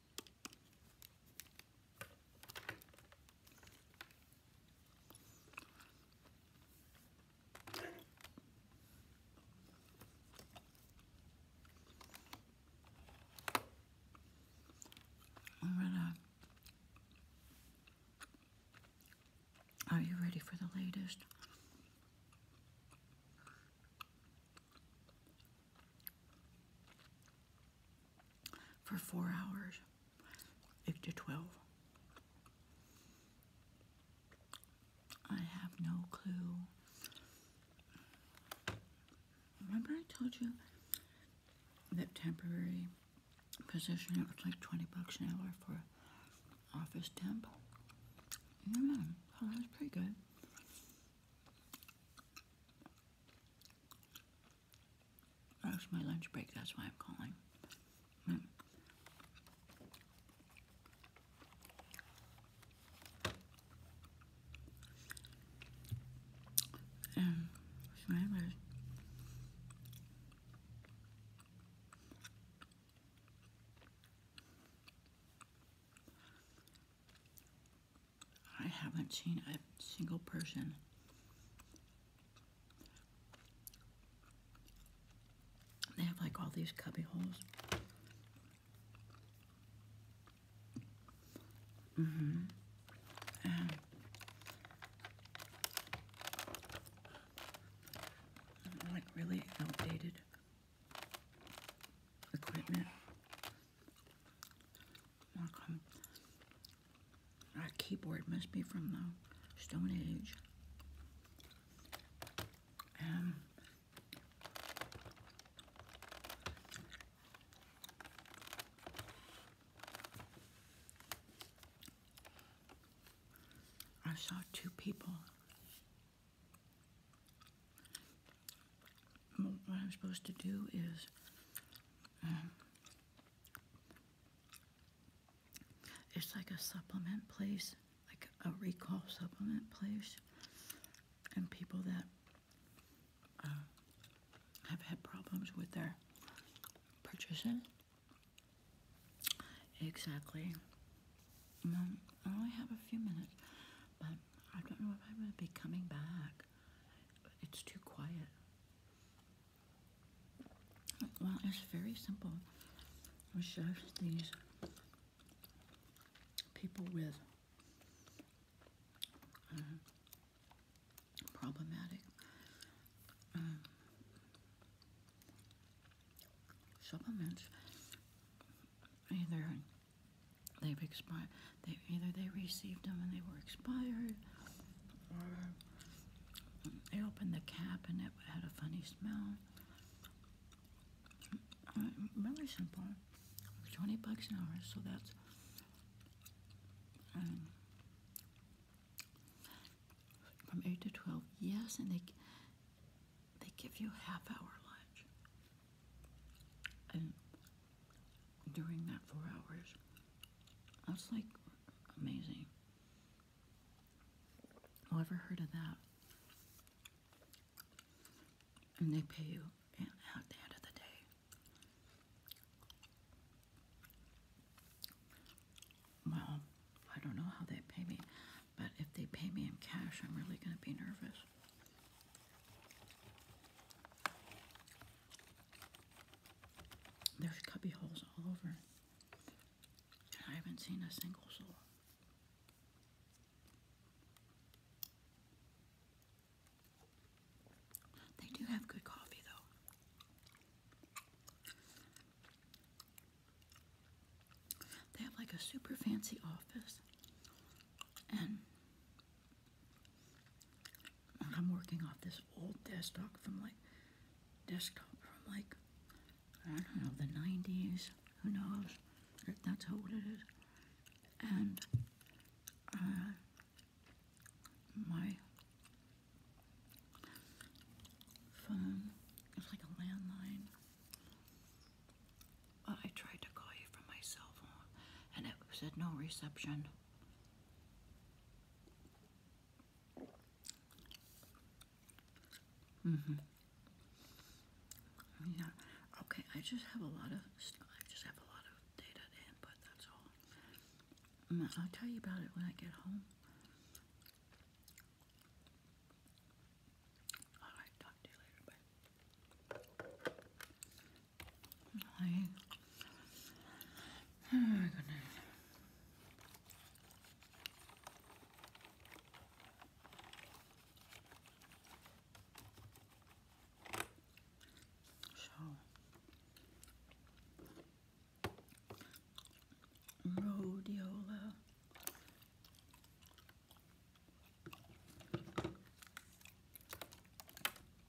i Are you ready for the latest? for four hours, eight to 12. I have no clue. Remember I told you that temporary position, it was like 20 bucks an hour for office temp? Yeah, mm-hmm. oh, that's pretty good. That's my lunch break, that's why I'm calling. Mm. I haven't seen a single person they have like all these cubby holes hmm like really outdated equipment my keyboard must be from the Stone Age. Um, I saw two people what I'm supposed to do is um, it's like a supplement place, like a recall supplement place, and people that uh, have had problems with their purchases. Exactly. Um, I only have a few minutes, but I don't know if I'm going to be coming back. It's too quiet. Well, it's very simple. We show these people with uh, problematic um, supplements. and they've expired, either they received them and they were expired, or they opened the cap and it had a funny smell. Mm, mm, really simple. Twenty bucks an hour, so that's. Um, from 8 to 12 yes and they they give you a half hour lunch during that four hours. That's like amazing. Ever heard of that? And they pay you at the end of the day. Well, I don't know how they pay me, but if they pay me in cash, I'm really going to be nervous. There's cubby holes all over. I haven't seen a single soul. They do have good coffee though. They have like a super fancy office and I'm working off this old desktop from like desktop from like I don't know the 90s. Who knows that's how old it is? And uh, my phone is like a landline. I tried to call you from my cell phone, and it said no reception. Mm-hmm. Yeah. Okay, I just have a lot of I just have a lot of data to input, that's all. Mm, I'll tell you about it when I get home. Alright, talk to you later. Bye. Like, oh my goodness.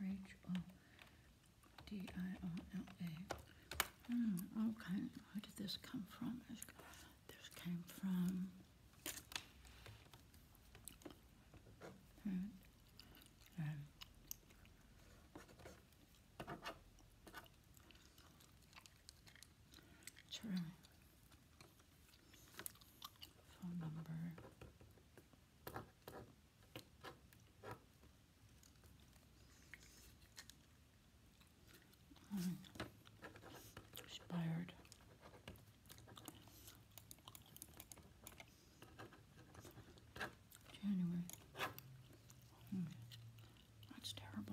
Rachel D I O L A. Hmm, okay, where did this come from? This came from. Hmm, um, Phone number. Expired. January. Hmm. That's terrible.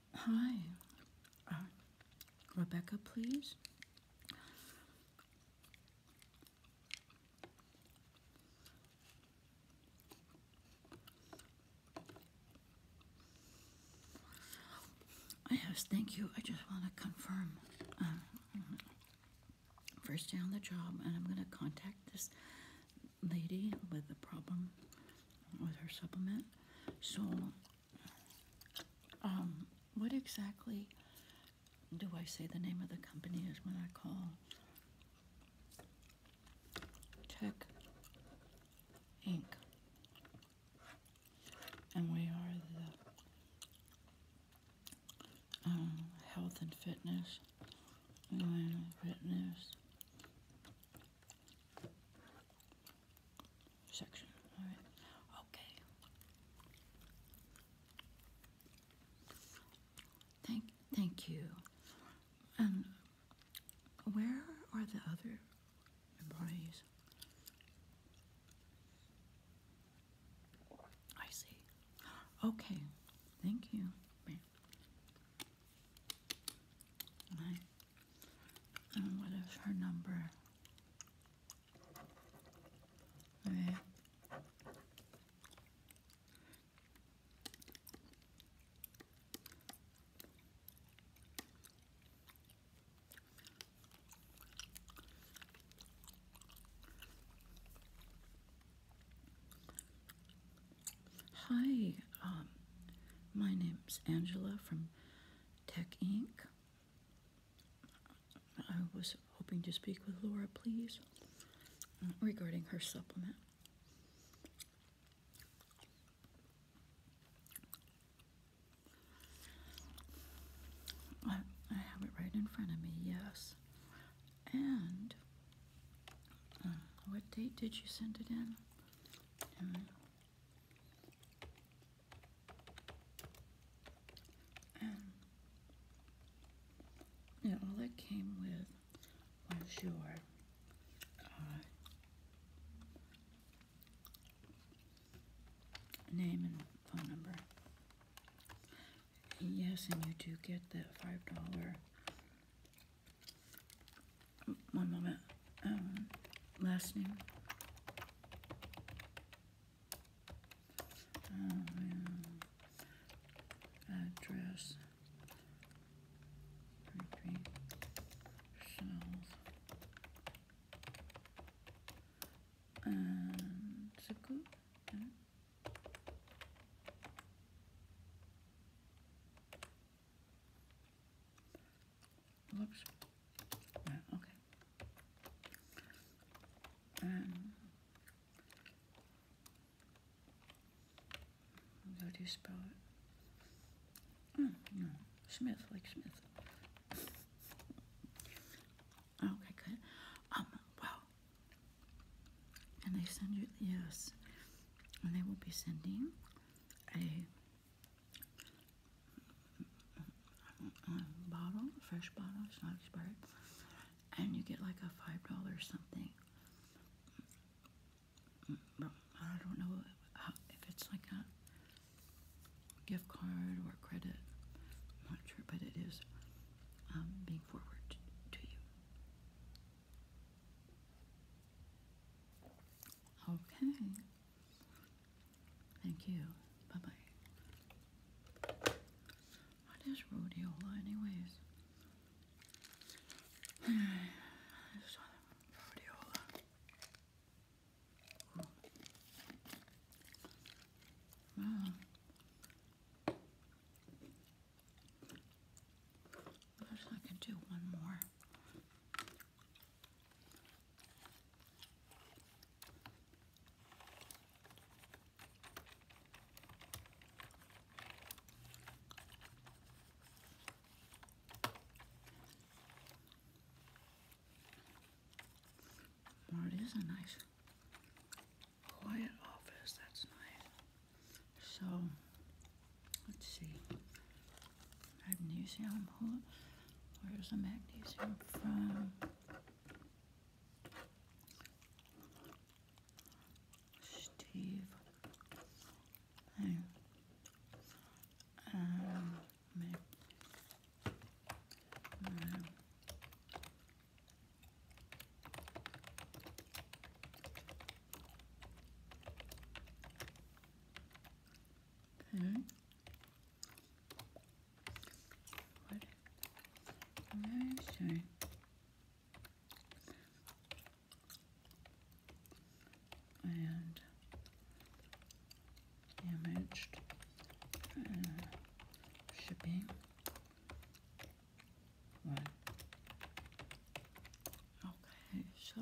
Hi, uh, Rebecca, please. Yes, thank you. I just want to confirm. Uh, first day on the job, and I'm going to contact this lady with the problem with her supplement. So um, what exactly do I say the name of the company is when I call? Tech Inc. And we are the um, health and fitness, and fitness, section. Okay. Thank, thank you. And um, where are the other employees? I see. Okay. Thank you what is her number? Hi, um, my name is Angela from Tech Inc. I was hoping to speak with Laura, please, regarding her supplement. I, I have it right in front of me, yes. And uh, what date did you send it in? And um, all it came with was your uh, name and phone number. Yes, and you do get that $5 one moment, um, last name. Um, address. Repeat. And um, Whoops. Yeah, okay. Um, how do you spell it? Oh, no. Smith, like Smith. okay, good. Um, wow. And they send you, yes. And they will be sending a bottle, fresh bottle, it's not expired, and you get like a five dollar something. I don't know if it's like a gift card or credit. not sure, but it is um, being forwarded to you. Okay. Thank you. Bye bye. What is rhodiola, anyways? I saw hmm. I guess I can do one more. Well, a nice quiet office. That's nice. So, let's see. Magnesium, Where's the magnesium from? Steve. Hey. um, okay. What? I'm sorry. And damaged uh, shipping. What? Okay, so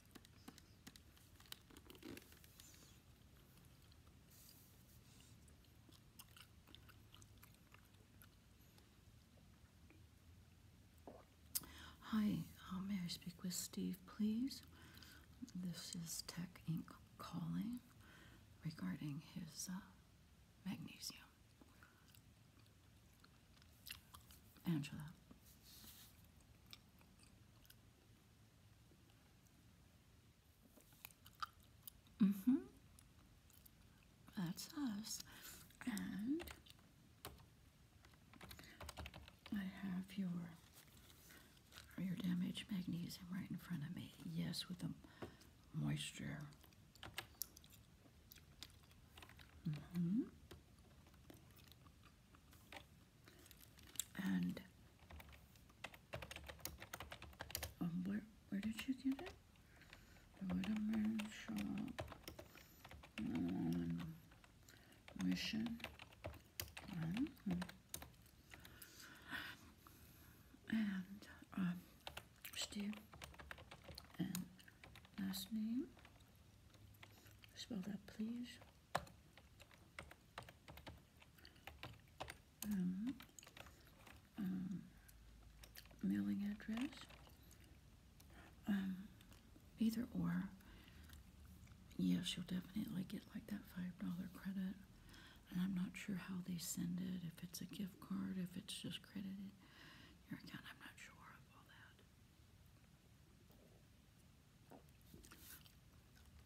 Hi, uh, may I speak with Steve, please? This is Tech Inc. calling regarding his uh, magnesium. Angela. Mm-hmm. That's us. And I have your your damaged magnesium right in front of me. Yes, with the moisture. Mm-hmm. And um, where where did you get it? The Whitman Shop um, Mission. Mm And um, Steve and last name. Spell that, please. Um, um, mailing address, um, either or. Yes, you'll definitely get like that $5 credit. And I'm not sure how they send it, if it's a gift card, if it's just credited your account. I'm not sure of all that.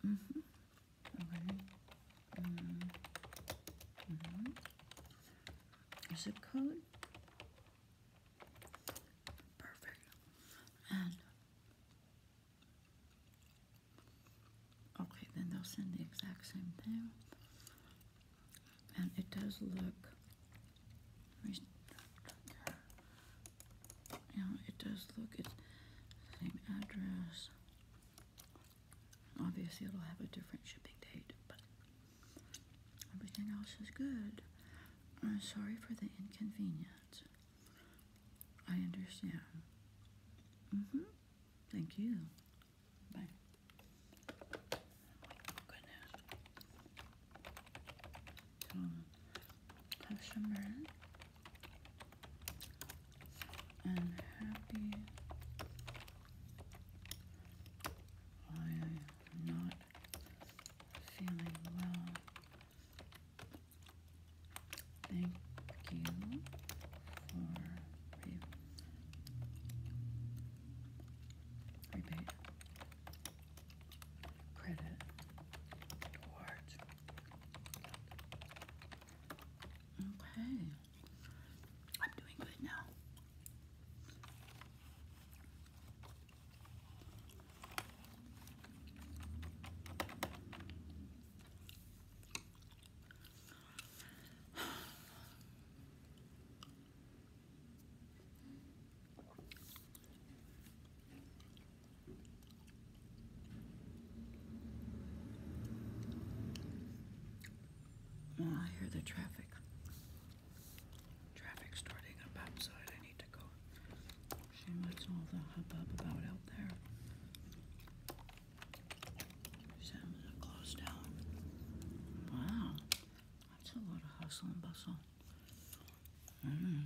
Mm -hmm. Okay. Mm -hmm. Mm-hmm. Zip code. Perfect. And okay, then they'll send the exact same thing. And it does look. You know, it does look, it's the same address. Obviously, it'll have a different shipping date, but everything else is good. I'm uh, sorry for the inconvenience. I understand. hmm Thank you. Bye. Oh, goodness. Hashemran and happy I am not feeling well. Thank you for re rebate credit towards Okay. I'm doing good now. I hear the traffic. Traffic starting up outside. I need to go. See what's all the hubbub about out there. Sam's closed down. Wow. That's a lot of hustle and bustle. Mm.